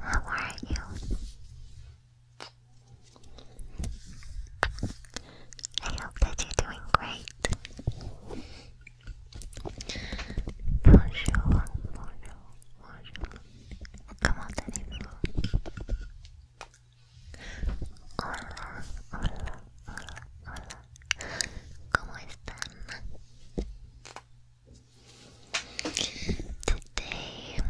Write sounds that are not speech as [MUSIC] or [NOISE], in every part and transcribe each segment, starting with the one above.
How are you? I hope that you're doing great. Bonjour, bonjour, bonjour. Comment allez-vous? Hola, hola, ¿Cómo Today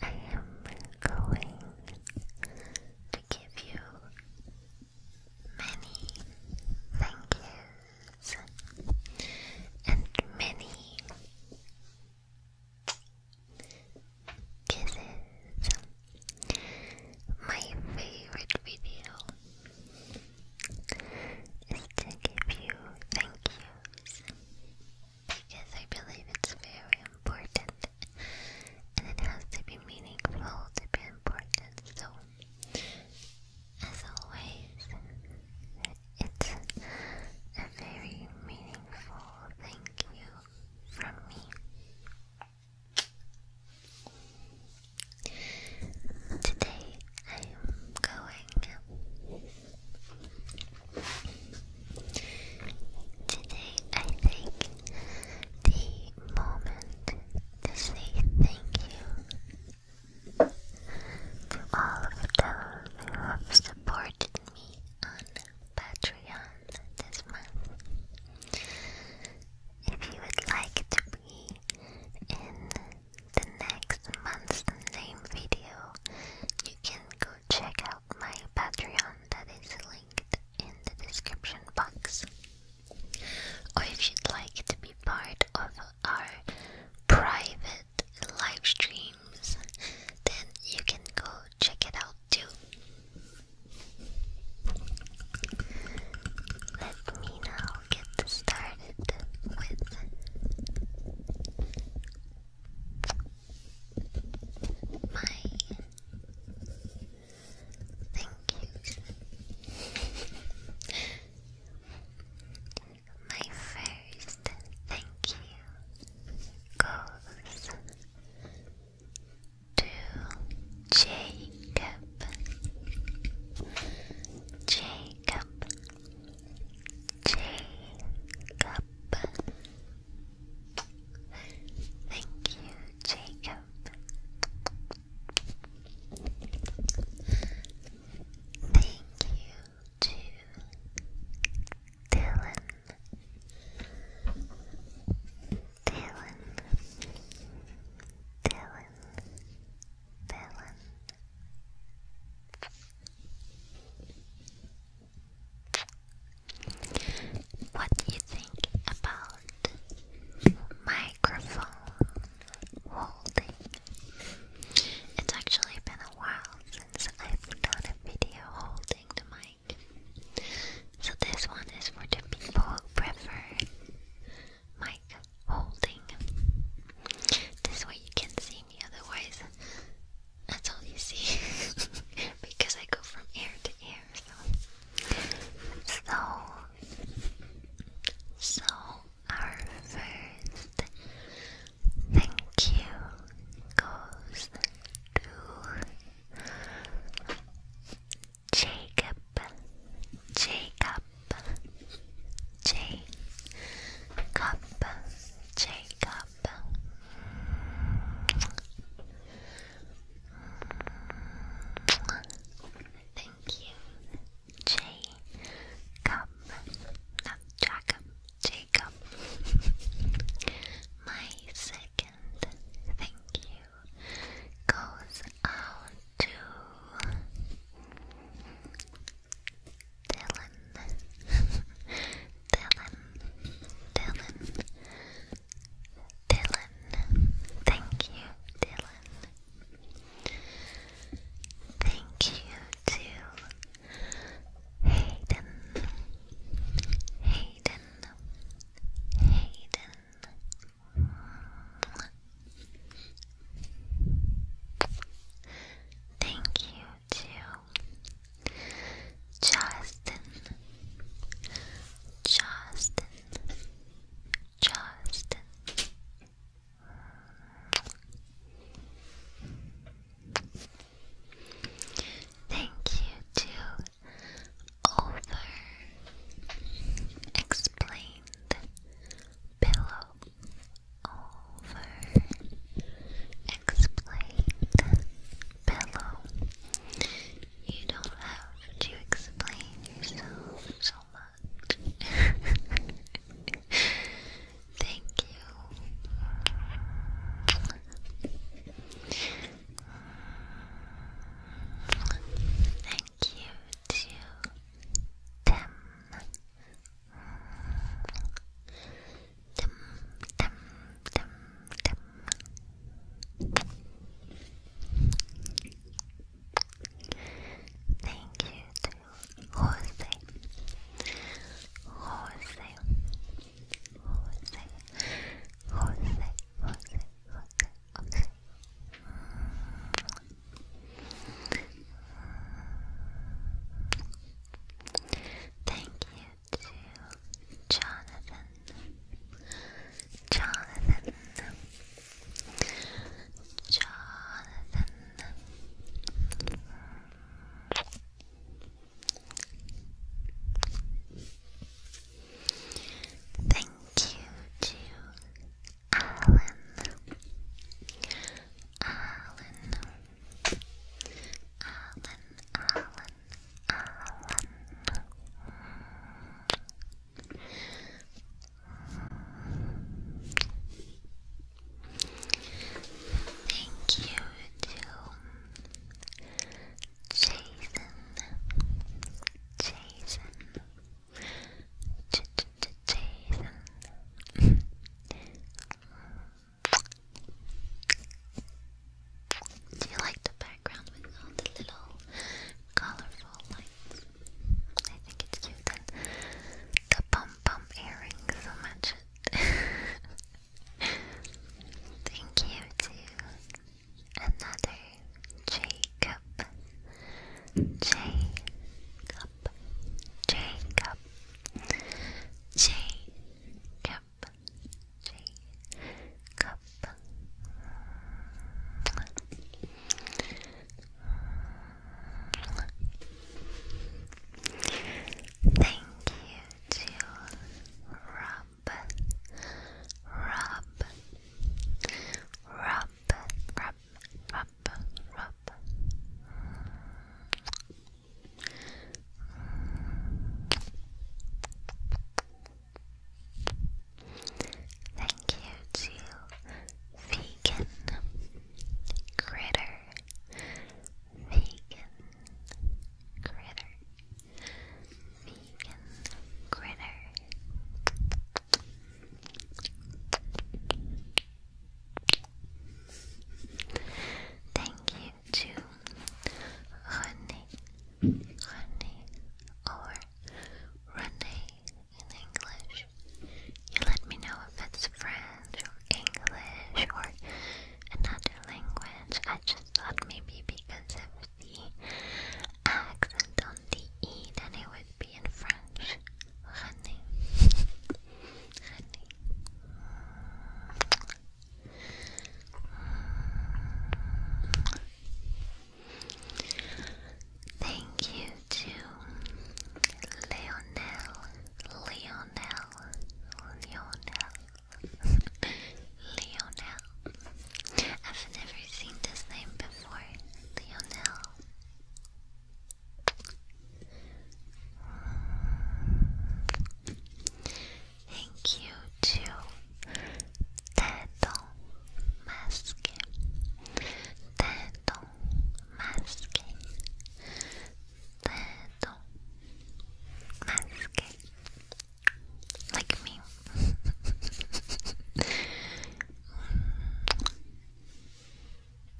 I am going to give you many thank yous and many kisses. My favorite video is to give you thank yous because I believe it's very important and it has to be meaningful to be important. So, as always, it's a very meaningful thank you from me. Today I'm going. Today I take the moment to say thank you to all of those who have supported me on Patreon this month. If you would like to in the next month's name video. You can go check out my Patreon that is linked in the description box. Or if you'd like to be part of our private live streams, then you can go check it out too. Let me now get started with my thank yous. [LAUGHS] my first thank you goes to Jacob, Jacob, Jacob. Thank you, Jacob. Thank you to Dylan. Dylan, Dylan, what do you think about microphone holding? It's actually been a while since I've done a video holding the mic. So this one is for the people who prefer mic holding. This way you can see me, otherwise, that's all you see [LAUGHS] because I go from air to air. so, so our first thank you goes to. Jacob, Jacob, J, cup, Jacob. Thank you, J, cup, not Jacob, Jacob. My second thank you goes out to Dylan, Dylan, Dylan, Dylan. Thank you, Dylan. Thank you to Hayden, Hayden, Hayden. Thank you to Justin, Justin, Justin. Thank you to over explained pillow over. Explain pillow. You don't have to explain yourself so much. [LAUGHS] Thank you. Thank you to Thank you to Jose, Jose, Jose, Jose, Thank you to Jonathan. Jonathan. Jonathan. Thank you to Alan, Alan, Alan, Alan, Alan. Thank you to Jason, Jason, [LAUGHS] Do you like the background with all the little colorful lights? I think it's cute and the pom pom earrings so much. [LAUGHS] Thank you to another Jacob, Jacob, Jacob, Jacob, Jacob. Thank you to Rob, Rob, Rob, Rob, up, up. rub. Thank you to Vegan Critter, Vegan Critter, Vegan Critter. Thank you to Honey, Honey, or Renee in English. You let me know if it's French or English or another language. I just thought maybe because of the accent on the E, then it was be in French. René. René. Thank you to Leonel, Leonel, Leonel, Leonel. I've never seen this name before. Leonel, Thank you to Tattle Mask, Tattle Mask, Tattle Mask, like me. [LAUGHS]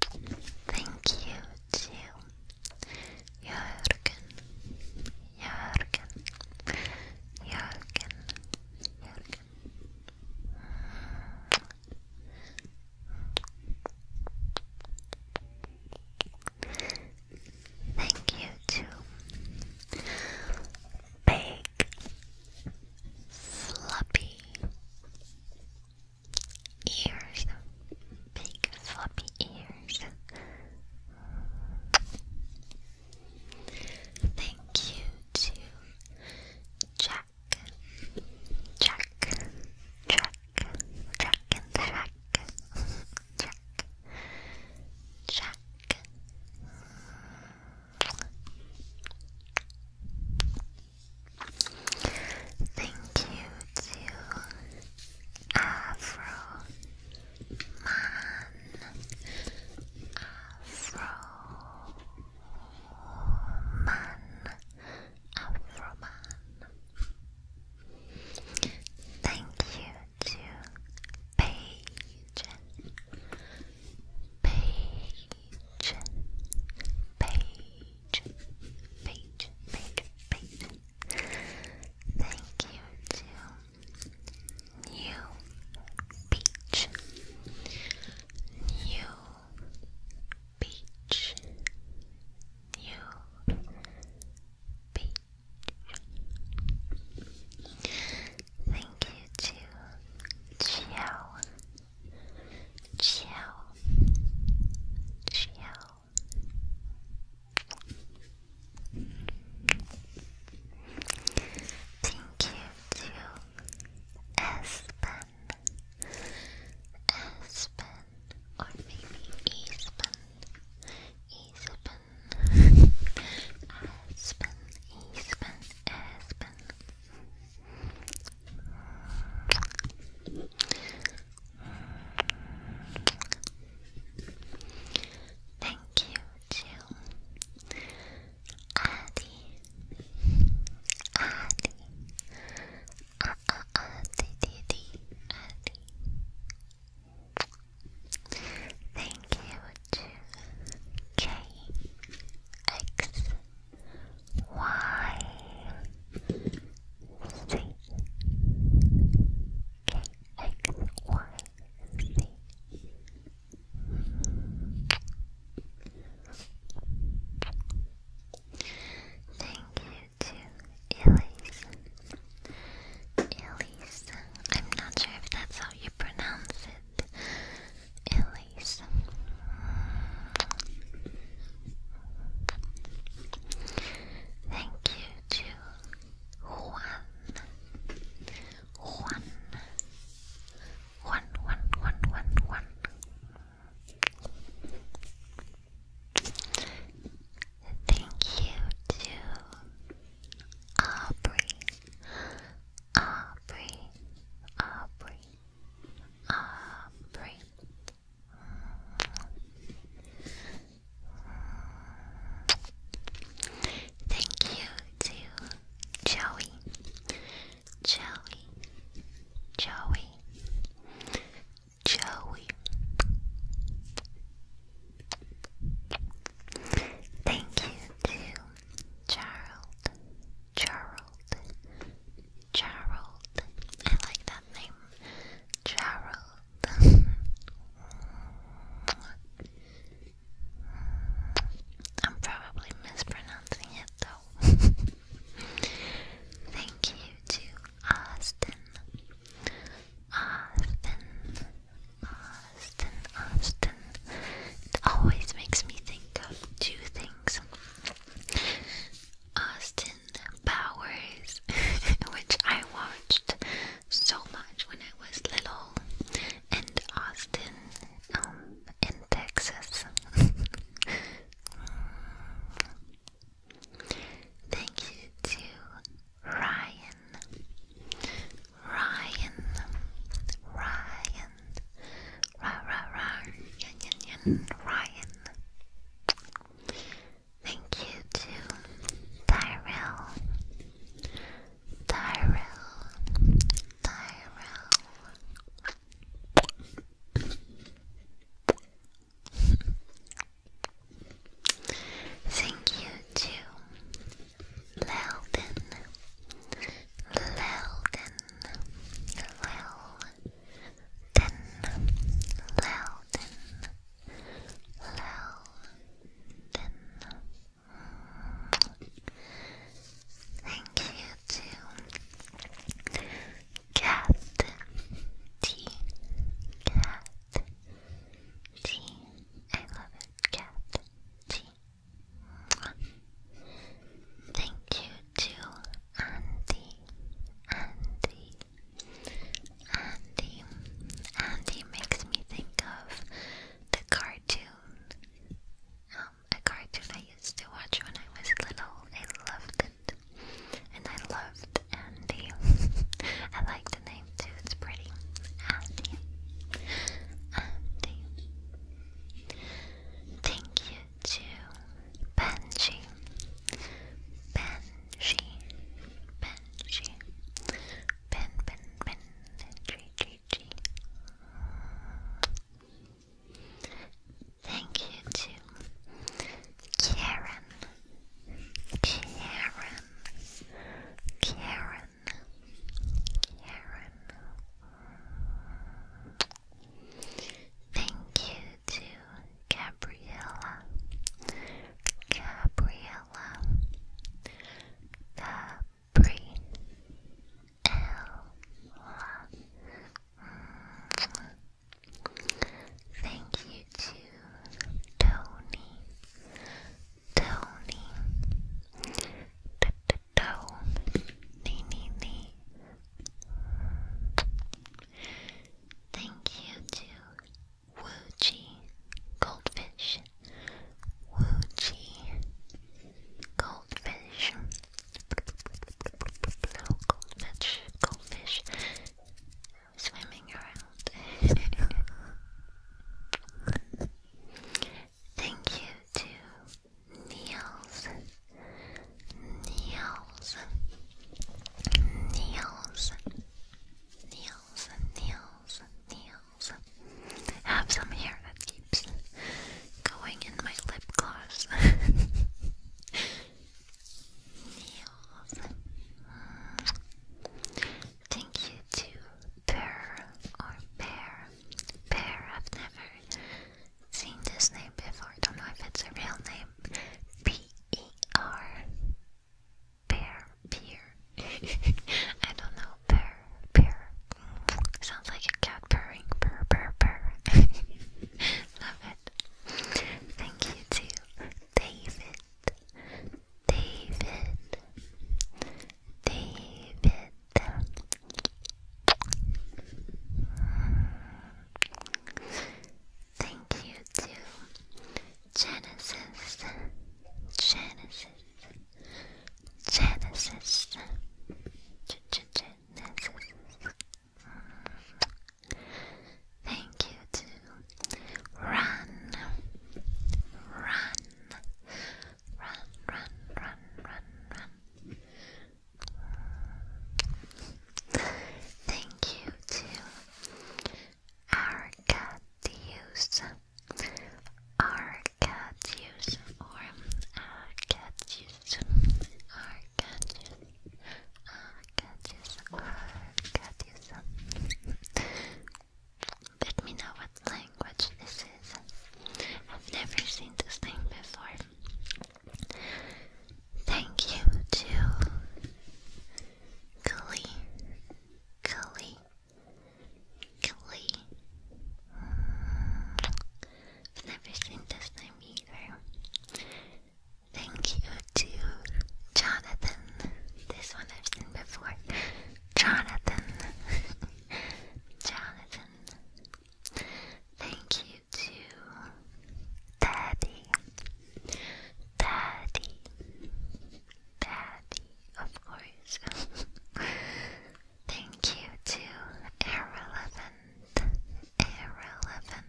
Thank you to Jürgen, Jürgen, Jürgen, Jürgen. Thank you to Big like floppy ears, big floppy ears. Thank you to Jack, Jack, Jack, Jack Jack, Jack, Jack. Thank you to Afro Man, Afro Man, Afro Man. Thank you to Paige, Paige, page, page, page, page, page. Thank you to New Beach, New Beach, New Beach. Thank you to Chiao, Chill, chill. Thank you to Aspen, Aspen, or maybe Eastman, Eastman, Aspen, Eastman, Aspen. Thank you to Adi, Adi, ah uh, ah uh, ah, uh, Adi, Adi. Thank you to K X Y C K X Y C. Thank you to Elise. Elise. I'm not sure if that's how you pronounce it. Elise. Thank you to Juan. Thank you to Aubrey, Aubrey, Aubrey, Ah, breathe. Thank you to Joey, Joey, Joey, Joey. Thank you to Gerald, Gerald, Gerald. I like that name, Gerald. I'm probably mispronouncing it though. Thank you to Austin. Austin. Austin. Austin. It always makes me think of two things Austin Powers, [LAUGHS] which I watched so much when I was little, and Austin um, in Texas. [LAUGHS] Thank you to Ryan. Ryan. Ryan. Ryan. Ra ra Yin yin yin. Ryan. Thank you to Tyrell. Tyrell. Tyrell. Thank you to Leldon. Loudon, Loudon, Loudon, Loudon. Thank you to Cat T, Cat T. I love it, Cat T. Thank you to Andy, Andy, Andy. Andy makes me think of the cartoon. Um, a cartoon I used to watch when I was little. I loved it. And I loved Andy. [LAUGHS] I like the name too, it's pretty. Andy. Andy. Thank you to Benji, Benji, Benji, Ben, Ben, Ben, G, G, G. Thank you to Karen, Karen, Karen, Karen. Thank you to Gabriella, Gabriella, Gabriella. Thank you to Tony, Tony, toe. Knee, knee, knee. Thank you to Wooji Goldfish. Wooji Goldfish. Little goldfish, goldfish swimming around. [LAUGHS] Thank you to nails, nails, nails, nails, nails, nails. I have some hair that keeps going in my lip gloss. [LAUGHS] nails. Thank you to Pear or Pear. Pear, I've never seen this name before. I Don't know if it's a real name. P E R. Pear. Pear. [LAUGHS] I don't know. Pear. Pear. Sounds like a cat purring. Purr, purr, purr. [LAUGHS] Love it. Thank you to David. David. David. Thank you to Genesis, Genesis, Genesis, Genesis. Thank you to Run, Run, Run, Run, Run, Run, Run. Thank you to Arcadius, Arcadius, or Arcadius, Arcadius, Arcadius, Arcadius. Let me know what language this I've never seen this thing before. Thank you to Glee, Glee, Glee. I've never seen this name either. Thank you to Jonathan. This one I've seen before. Jonathan. [LAUGHS] Jonathan. Thank you to Daddy, Daddy, Daddy, of course. [LAUGHS] Thank you to Irrelevant, Irrelevant,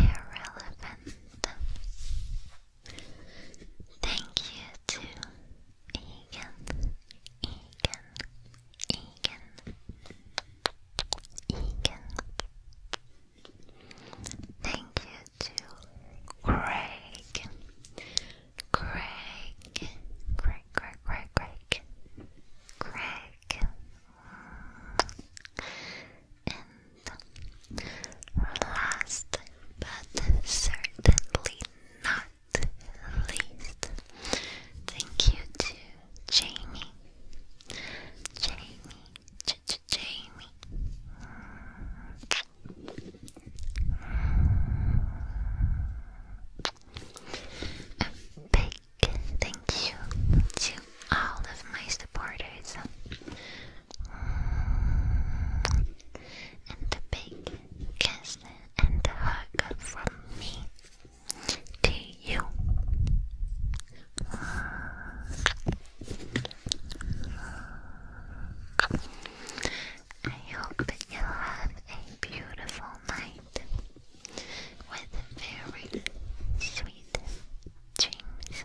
Irrelevant. Thank you to Egan, Egan, Egan, Egan. Thank you to Craig, Craig, Craig, Craig, Craig, Craig, and last but certainly not at least. Thank you to Jamie. Jamie. Jamie. A big thank you to all of my supporters. And the big kiss and the hug from me. T U I hope that you have a beautiful night with very sweet dreams.